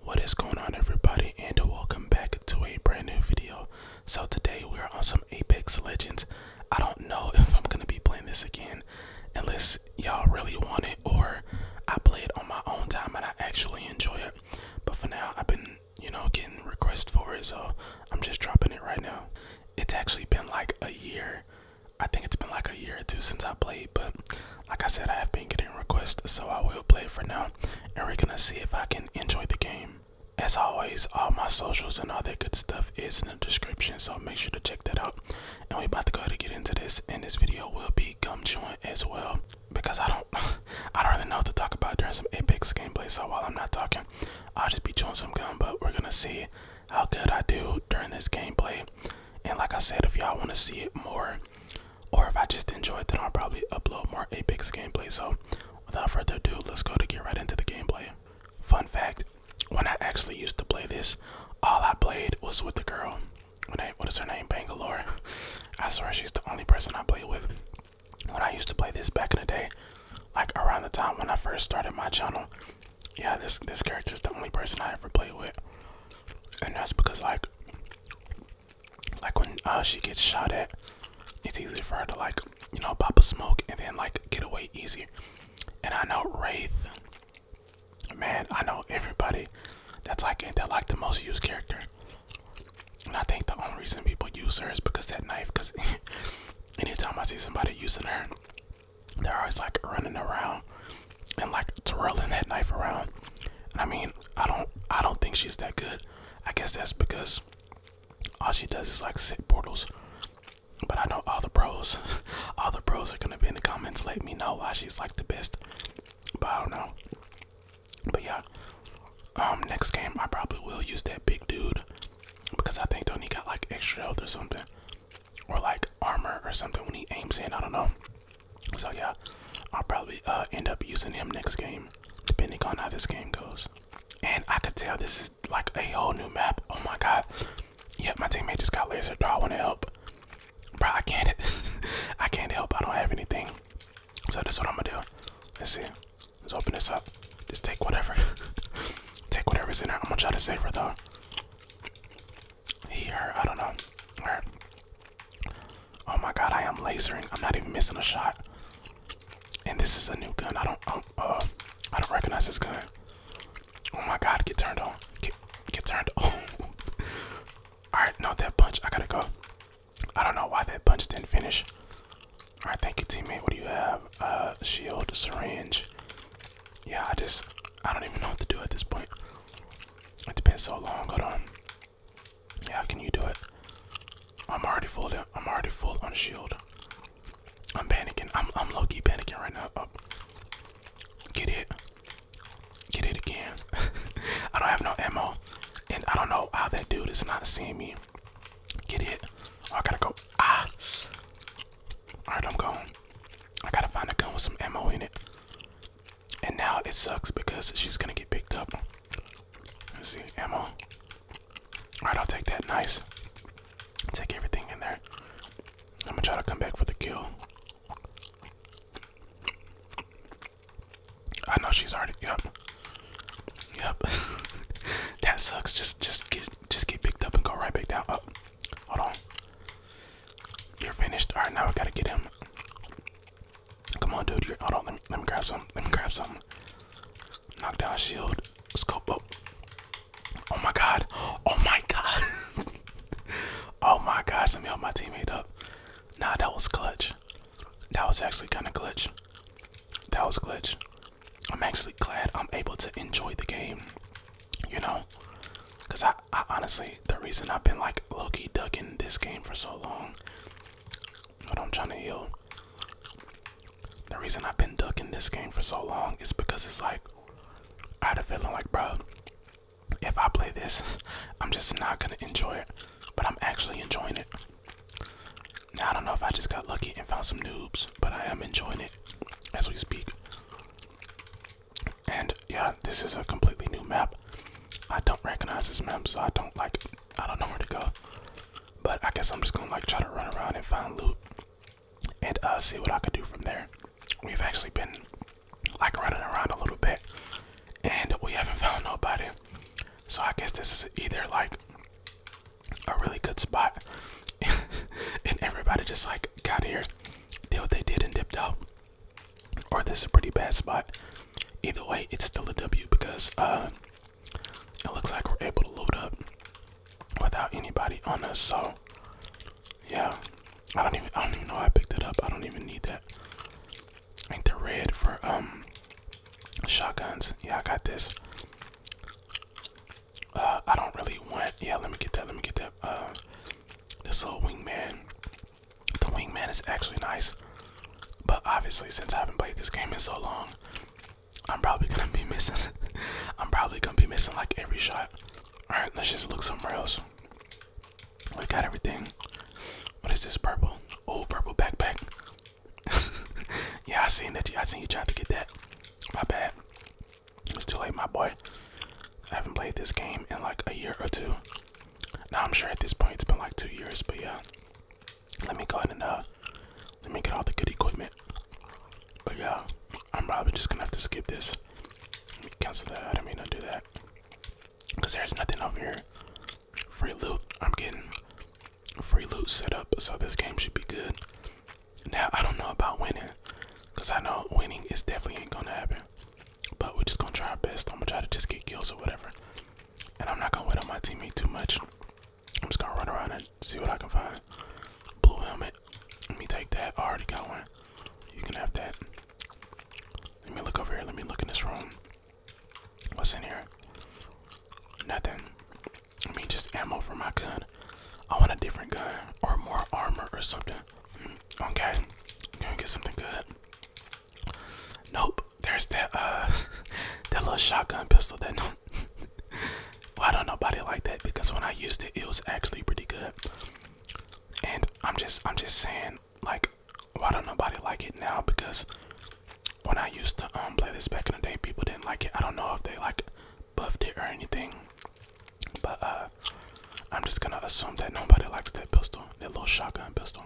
What is going on everybody and welcome back to a brand new video. So today we are on some Apex Legends. I don't know if I'm going to be playing this again unless y'all really want it or I play it on my own time and I actually enjoy it. But for now I've been, you know, getting requests for it so I'm just dropping it right now. It's actually been like a year. I think it's been like a year or two since I played but like I said, I have been getting requests, so I will play for now, and we're gonna see if I can enjoy the game. As always, all my socials and all that good stuff is in the description, so make sure to check that out. And we're about to go ahead and get into this, and this video will be gum chewing as well, because I don't, I don't really know what to talk about during some Apex gameplay. So while I'm not talking, I'll just be chewing some gum. But we're gonna see how good I do during this gameplay. And like I said, if y'all want to see it more, or if I just enjoy it, then I'll probably upload more Apex gameplay. So, without further ado, let's go to get right into the gameplay. Fun fact: When I actually used to play this, all I played was with the girl. When I, what is her name? Bangalore. I swear she's the only person I play with. When I used to play this back in the day, like around the time when I first started my channel, yeah, this this character is the only person I ever played with, and that's because like like when uh, she gets shot at, it's easy for her to like, you know, pop a smoke and then like get away easy. And I know Wraith, man, I know everybody that's like that like the most used character. And I think the only reason people use her is because that knife. Because anytime I see somebody using her, they're always like running around and like twirling that knife around. And I mean, I don't, I don't think she's that good. I guess that's because all she does is like sit portals. But I know all the bros, all the bros are gonna be in the comments. Let me know why she's like the best. But I don't know. But yeah, um, next game I probably will use that big dude because I think Donnie got like extra health or something, or like armor or something when he aims in. I don't know. So yeah, I'll probably uh, end up using him next game, depending on how this game goes. And I could tell this is like a whole new map. Oh my god. Yep, my teammate just got lasered. Bro, I want to help. Bro, I can't. I can't help. I don't have anything. So that's what I'm gonna do. Let's see. Let's open this up. Just take whatever. take whatever's in there. I'm gonna try to save her though. He, her, I don't know. Oh my god, I am lasering. I'm not even missing a shot. And this is a new gun. I don't, um, uh, I don't recognize this gun. Oh my god, get turned on. Get, turned on. All right, no, that punch. I gotta go. I don't know why that punch didn't finish. All right, thank you, teammate. What do you have? Uh, shield, syringe. Yeah, I just, I don't even know what to do at this point. It's been so long. Hold on. Yeah, how can you do it? I'm already full. I'm already full on shield. I'm panicking. I'm I'm low key panicking right now. Oh. Get it. Get it again. I don't have no ammo, and I don't know how that dude is not seeing me. Get it. Oh, I gotta go. Ah. All right, I'm going. I gotta find a gun with some ammo in it. And now it sucks because she's gonna get picked up. see, ammo. All right, I'll take that. Nice. Take everything in there. I'm gonna try to come back for the kill. I know she's already. Yep. Yep. that sucks. Just, just get, just get picked up and go right back down. Up. Oh, hold on. You're finished. All right, now I gotta get him. Come on, dude. You're, hold on. Let me let me grab some. Let me grab some. Knockdown shield. Scope up. Oh my god. Oh my god. oh my god. Let me help my teammate up. Nah, that was clutch. That was actually kind of clutch. That was clutch. I'm actually glad I'm able to enjoy the game. You know, cause I I honestly, the reason I've been like low-key ducking this game for so long, what I'm trying to heal, the reason I've been ducking this game for so long is because it's like, I had a feeling like, bro, if I play this, I'm just not gonna enjoy it, but I'm actually enjoying it. Now, I don't know if I just got lucky and found some noobs, but I am enjoying it as we speak. And yeah, this is a completely new map. I don't recognize this map, so I don't like I don't know where to go. But I guess I'm just gonna like try to run around and find loot and uh see what I could do from there. We've actually been like running around a little bit and we haven't found nobody. So I guess this is either like a really good spot and everybody just like got here did what they did and dipped out, or this is a pretty bad spot. Either way, it's still a W because uh, it looks like we're able to load up without anybody on us. So yeah, I don't even I don't even know I picked it up. I don't even need that. I think the red for um shotguns. Yeah, I got this. Uh, I don't really want. Yeah, let me get that. Let me get that uh, this little wingman. The wingman is actually nice, but obviously since I haven't played this game in so long, I'm probably gonna be missing. I'm probably gonna be missing like every shot. All right, let's just look somewhere else. We got everything. What is this purple? Oh, purple backpack. yeah, I seen that. I seen you trying to get that. My bad. It's too late, my boy. I haven't played this game in like a year or two. Now I'm sure at this point it's been like two years, but yeah. Let me go ahead and uh, let me get all the good equipment. But yeah, I'm probably just gonna have to skip this. Let me cancel that. I do not mean to do that. Cause there's nothing over here. Free loot. I'm getting free loot set up, so this game should be good. Now I don't know about winning, cause I know winning is definitely ain't gonna happen. But we're just gonna try our best. I'm gonna try to just get kills or whatever. And I'm not gonna wait on my teammate too much. I'm just gonna run around and see what I can find. Blue helmet. Let me take that. I already got one. You can have that. Let me look over here. Let me look in this room. What's in here? Nothing. I mean, just ammo for my gun. I want a different gun or more armor or something. Mm, okay, gonna get something good. Nope, there's that uh that little shotgun pistol that no why don't nobody like that because when I used it it was actually pretty good. And I'm just I'm just saying like why don't nobody like it now because when I used to um play this back in the day people didn't like it. I don't know if they like buffed it or anything. But uh, I'm just gonna assume that nobody likes that pistol, that little shotgun pistol.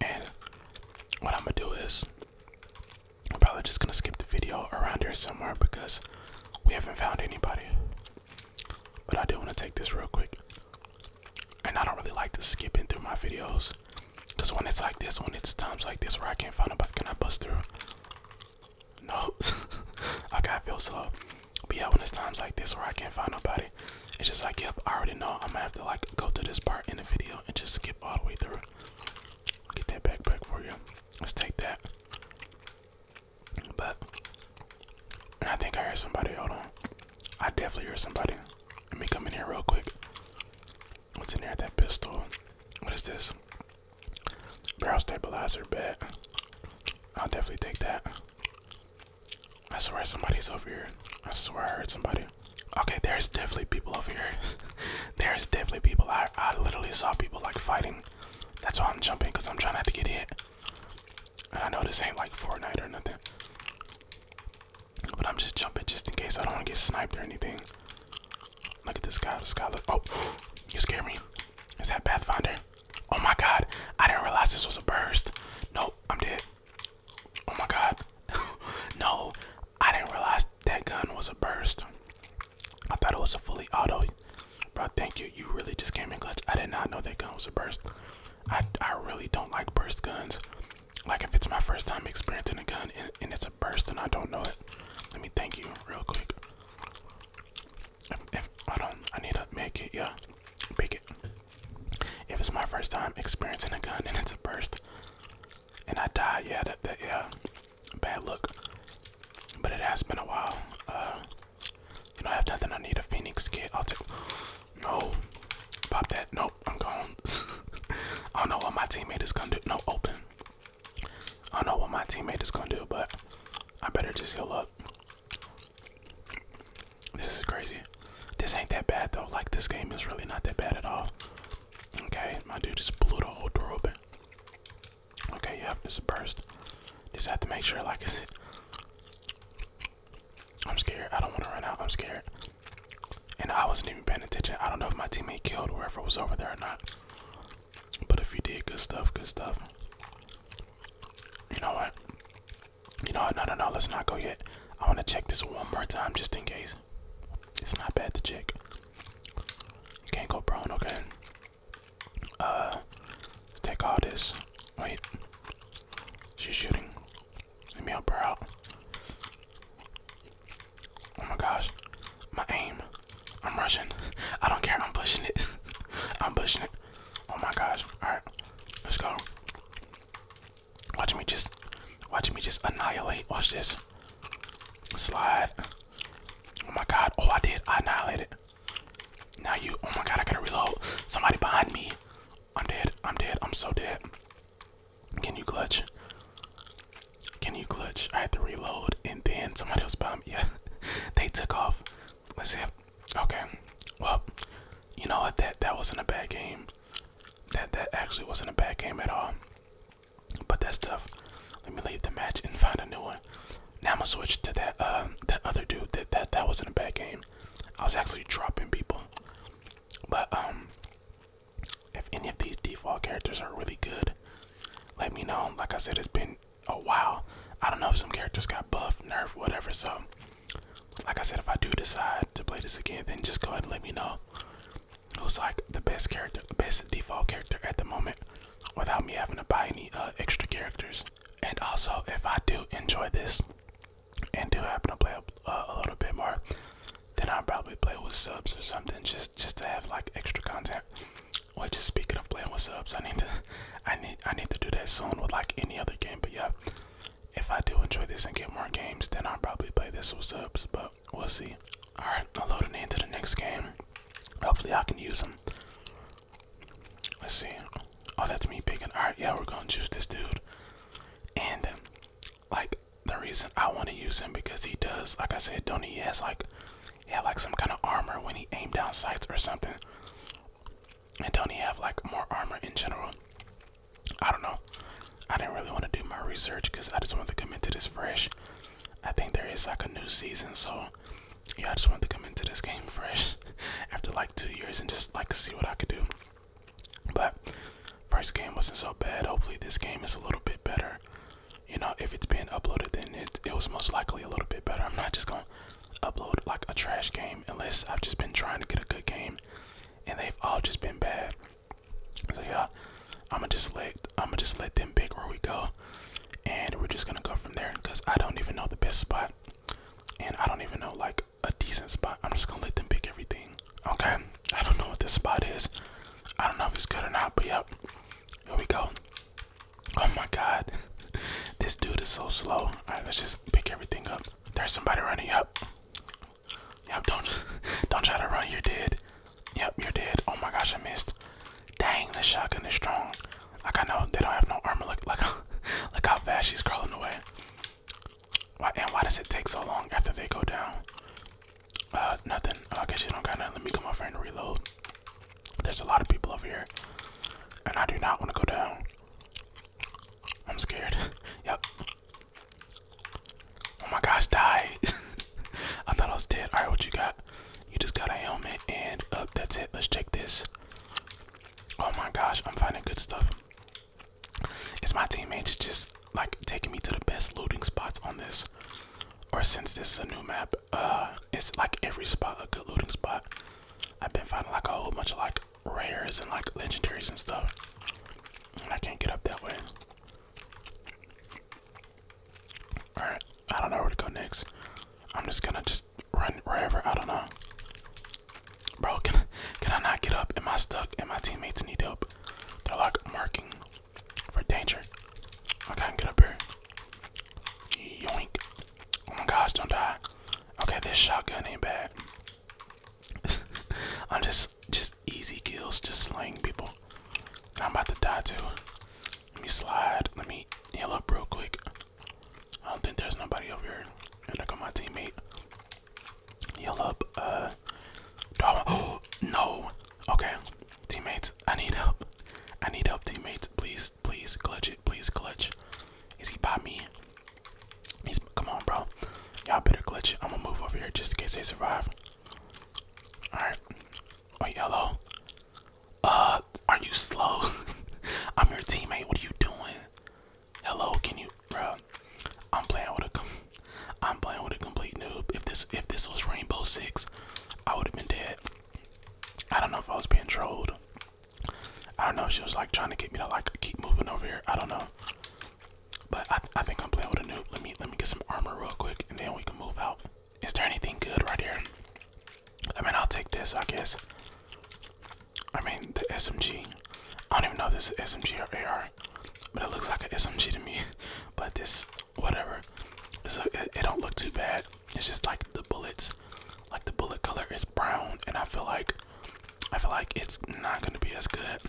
And what I'm gonna do is, I'm probably just gonna skip the video around here somewhere because we haven't found anybody. But I do wanna take this real quick. And I don't really like to skip in through my videos. Cause when it's like this, when it's times like this where I can't find nobody, can I bust through? No. I gotta feel slow. But yeah, when it's times like this where I can't find nobody, it's just like, yep, I already know I'm gonna have to like go to this part in the video and just skip all the way through. Get that backpack for you. Let's take that. But I think I heard somebody, hold on. I definitely heard somebody. Let me come in here real quick. What's in there? That pistol. What is this? Barrel stabilizer, bet. I'll definitely take that. I swear somebody's over here. I swear I heard somebody. Okay, there's definitely people over here. there's definitely people. I, I literally saw people like fighting. That's why I'm jumping because I'm trying not to get hit. I know this ain't like Fortnite or nothing. But I'm just jumping just in case I don't want to get sniped or anything. Look at this guy. This guy, look. Oh, you scared me. Is that Pathfinder? Oh my god. I didn't realize this was a burst. Nope, I'm dead. Oh my god. no, I didn't realize that gun was a burst. I thought it was a fully auto. Bro, thank you. You really just came in clutch. I did not know that gun was a burst. I, I really don't like burst guns. Like if it's my first time experiencing a gun and, and it's a burst and I don't know it, let me thank you real quick. If, I don't, I need to make it. Yeah, pick it. If it's my first time experiencing a gun and it's a burst, and I die, yeah, that, that yeah, bad look. But it has been a while. Uh, you know, I have nothing. I need a Phoenix kit. I'll take. No, pop that. Nope, I'm gone. I don't know what my teammate is gonna do. No, open. I don't know what my teammate is gonna do, but I better just heal up. This is crazy. This ain't that bad though. Like this game is really not that bad at all. Okay, my dude just blew the whole door open. Okay, yep, it's a burst. Just have to make sure like I said, I'm scared. I don't want to run out. I'm scared. And I wasn't even paying attention. I don't know if my teammate killed whoever was over there or not. But if you did, good stuff, good stuff. You know what? You know what? No, no, no. Let's not go yet. I want to check this one more time just in case. It's not bad to check. You can't go prone, okay? Uh, take all this. Wait. She's shooting. Let me help her out. Oh my gosh. My aim. I'm rushing. I don't care. I'm pushing it. I'm pushing it. Oh my gosh. Alright. Let's go. Watch me just watch me just annihilate. Watch this. Slide. Oh my god. Oh I did. I annihilated. Now you oh my god, I gotta reload. Somebody behind me. I'm dead. I'm dead. I'm so dead. Can you clutch? Can you clutch? I had to reload and then somebody else bombed. me. Yeah, they took off. Let's see if, okay. Well, you know what? That that wasn't a bad game. That that actually wasn't a bad game at all. But that's tough. Let me leave the match and find a new one. Now I'm gonna switch to that uh, that other dude. That that that wasn't a bad game. I was actually dropping people. But um if any of these default characters are really good, let me know. Like I said, it's been a while. I don't know if some characters got buff, nerfed, whatever. So, like I said, if I do decide to play this again, then just go ahead and let me know who's like the best character, best default character at the moment without me having to buy any uh, extra characters. And also, if I do enjoy this and do happen to play a uh, little bit more, then I'll probably play with subs or something just just to have like extra content. Well, just speaking of playing with subs, I need to, I need, I need to do that soon with like any other game. But yeah, if I do enjoy this and get more games, then I'll probably play this with subs. But we'll see. All right, I'm loading into the next game. Hopefully, I can use them. Let's see. Oh, that's me picking. All right, yeah, we're gonna choose this dude. And like, the reason I want to use him because he does, like I said, don't he has like he had like some kind of armor when he aimed down sights or something. And don't he have like more armor in general? I don't know. I didn't really want to do my research because I just wanted to come into this fresh. I think there is like a new season, so yeah, I just wanted to come into this game fresh after like two years and just like see what I could do. But First game wasn't so bad. Hopefully, this game is a little bit better. You know, if it's being uploaded, then it, it was most likely a little bit better. I'm not just gonna upload like a trash game unless I've just been trying to get a good game and they've all just been bad. So yeah, I'ma just let I'ma just let them pick where we go, and we're just gonna go from there because I don't even know the best spot, and I don't even know like a decent spot. I'm just gonna let them pick everything. Okay, I don't know what this spot is. I don't know if it's good or not, but yep. Here we go. Oh my god. this dude is so slow. Alright, let's just pick everything up. There's somebody running up. Yep, don't don't try to run, you're dead. Yep, you're dead. Oh my gosh, I missed. Dang, this shotgun is strong. Like I know they don't have no armor. Look like look, look how fast she's crawling away. Why and why does it take so long after they go down? Uh, nothing. I guess you don't got nothing. Let me get my friend to reload. There's a lot of people over here, and I do not want to go down. I'm scared. yep. Oh my gosh, die. I thought I was dead. Alright, what you got? You just got a helmet and up. Uh, that's it. Let's check this. Oh my gosh, I'm finding good stuff is my teammates just like taking me to the best looting spots on this. Or since this is a new map, uh, it's like every spot a good looting spot. I've been finding like a whole bunch of like rares and like legendaries and stuff. And I can't get up that way. Alright, I don't know where to go next. I'm just gonna just run wherever, I don't know. Bro, can, can I not get up? Am I stuck? And my teammates need help. They're like marking for danger. I can't get up here. Yoink. Oh my gosh, don't die. Okay, this shotgun ain't bad. I'm just just easy kills, just slaying people. I'm about to die too. Let me slide. Let me heal up real quick. I don't think there's nobody over here. And I got my teammate. Heal up. I uh, no. Okay, teammates, I need help. I need help, teammates. Please, please clutch it. Please clutch. Is he by me? He's come on, bro. Y'all better clutch. I'm gonna move over here just in case they survive. All right. Wait, hello. Uh, are you slow? I'm your teammate. What are you doing? Hello, can you, bro? I'm playing with a, I'm playing with a complete noob. If this, if this was Rainbow Six, I would have been dead. I don't know if I was being trolled. I don't know. If she was like trying to get me to like keep moving over here. I don't know. But I, I think I'm playing with a noob. Let me, let me get some armor real quick, and then we can move out. Is there anything good right here? I mean, I'll take this, I guess. I mean, the SMG. I don't even know if this is SMG or AR but it looks like it's SMG to me. But this, whatever, it, it don't look too bad. It's just like the bullets, like the bullet color is brown, and I feel like I feel like it's not gonna be as good.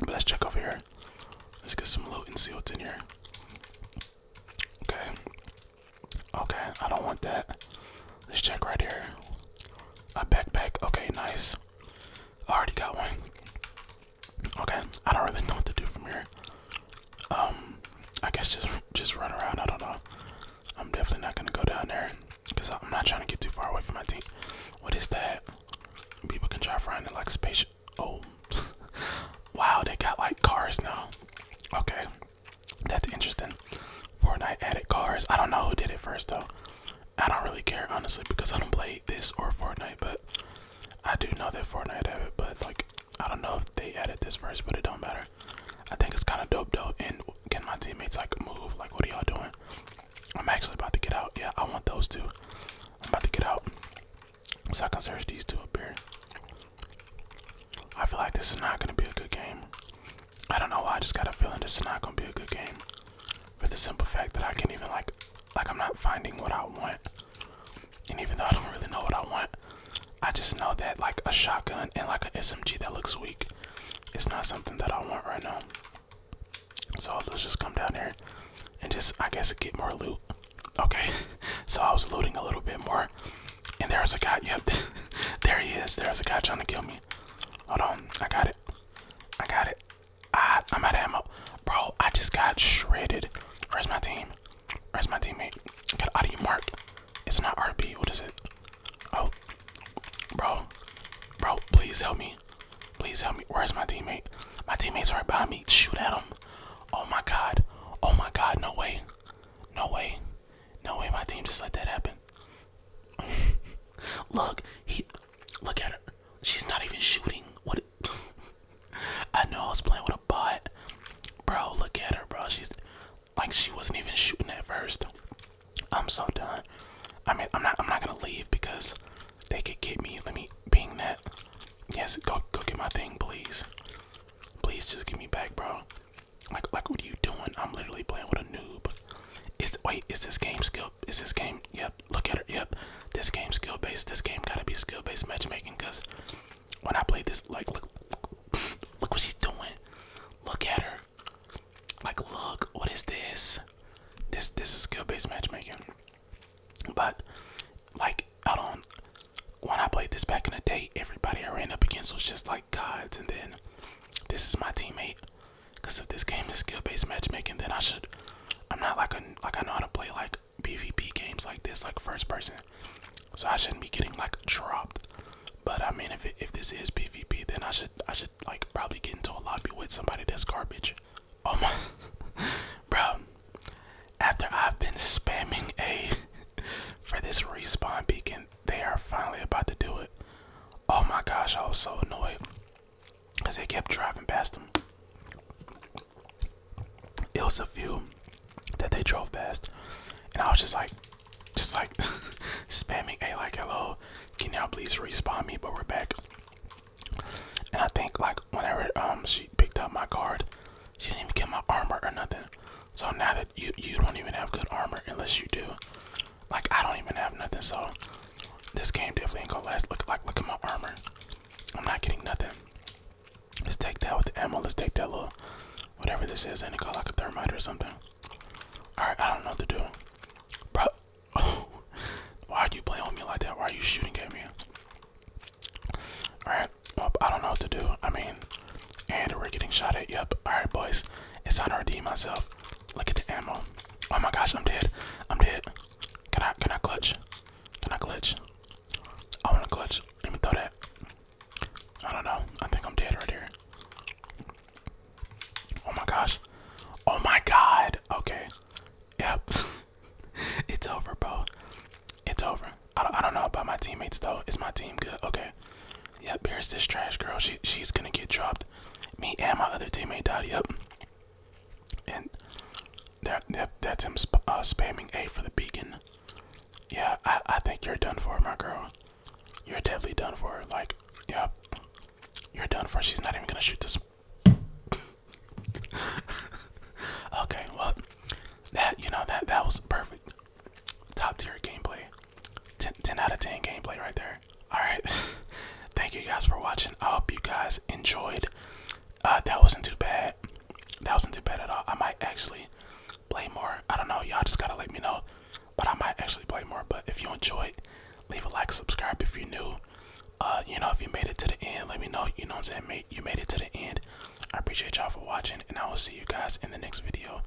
But let's check over here. Let's get some loot and see what's in here. Okay. Okay, I don't want that. Let's check right here. A backpack. Okay, nice. I already got one. Okay, I don't really know what to do from here. Um, I guess just just run around. I don't know. I'm definitely not gonna go down there because I'm not trying to get too far away from my team. What is that? People can drive around in like space. Oh, wow! They got like cars now. Okay, that's interesting. Fortnite added cars. I don't know who did it first though. I don't really care honestly because I don't play this or Fortnite, but I do know that Fortnite have it. But like, I don't know if they added this first, but it don't matter. I think it's kind of dope though. And can my teammates like move? Like, what are y'all doing? I'm actually about to get out. Yeah, I want those two. I'm about to get out, so I can search these two up here. I feel like this is not gonna be a good game. I don't know I just got a feeling this is not gonna be a good game. For the simple fact that I can't even like like I'm not finding what I want. And even though I don't really know what I want, I just know that like a shotgun and like an SMG that looks weak it's not something that I want right now. So I'll just come down here and just I guess get more loot. Okay. so I was looting a little bit more. And there's a guy, yep, there he is. There's a guy trying to kill me. Hold on, I got it. I got it. I, I'm out of ammo. Bro, I just got shredded. Where's my team? Where's my teammate? Get out of you, Mark. It's not RB. What is it? Oh, bro. Bro, please help me. Please help me. Where's my teammate? My teammate's right behind me. Shoot at him. Oh my god. Oh my god. No way. No way. No way. My team just let that happen. look, he look at her. She's not even shooting. What? I know I was playing with a bot, bro. Look at her, bro. She's like she wasn't even shooting at first. I'm so done. I mean, I'm not. I'm not gonna leave because they could get me. Let me ping that. Yes, go get my thing, please. Please just give me back, bro. Like like, what are you doing? I'm literally playing with a noob. Is wait, is this game skill? Is this game? Yep. Look at her. Yep. This game skill based. This game gotta be skill based matchmaking. Cause when I play this, like look, look, what she's doing. Look at her. Like look, what is this? This this is skill based matchmaking. But like I don't. when I played this back in the day, everybody I ran up against was just like gods, and then this is my teammate Cause if this game is skill-based matchmaking, then I should. I'm not like a like I know how to play like PvP games like this, like first person. So I shouldn't be getting like dropped. But I mean, if if this is PvP, then I should I should like probably get into a lobby with somebody that's garbage. Oh my, bro. After I've been spamming a for this respawn beacon they are finally about to do it. Oh my gosh, I was so annoyed because they kept driving past them. It was a few that they drove past, and I was just like, just like spamming a like, hello, can you please respawn me? But we're back. And I think like whenever um she picked up my card, she didn't even get my armor or nothing. So now that you you don't even have good armor unless you do. Like I don't even have nothing, so this game definitely ain't gonna last. Look, like look at my armor. I'm not getting nothing. Let's take that with the ammo. Let's take that little whatever this is, and it got like a thermite or something. All right, I don't know what to do, bro. why are you playing with me like that? Why are you shooting at me? All right, well, I don't know what to do. I mean, and we're getting shot at. Yep. All right, boys, it's time to redeem myself. Look at the ammo. Oh my gosh, I'm dead. I'm dead. Can I can I clutch? Can I clutch? I wanna clutch. Let me throw that. I don't know. I think I'm dead right here. Oh my gosh. Oh my god. Okay. Yep. it's over, bro. It's over. I don't, I don't know about my teammates though. Is my team good? Okay. Yep, here's this trash girl. She she's gonna get dropped. Me and my other teammate died. Yep. And that, that that's him uh, spamming A for the beacon. Yeah, I I think you're done for, my girl. You're definitely done for. Like, yep, you're done for. She's not even gonna shoot this. okay, well, that you know that that was perfect, top tier gameplay. 10, out of 10 gameplay right there. Alright, thank you guys for watching. I hope you guys enjoyed. Uh, that wasn't too bad. That wasn't too bad at all. I might actually play more. I don't know. Y'all just gotta let me know. But I might actually play more. But if you enjoyed, leave a like, subscribe if you're new. Uh, you know, if you made it to the end, let me know. You know what I'm saying? mate? You made it to the end. I appreciate y'all for watching, and I will see you guys in the next video.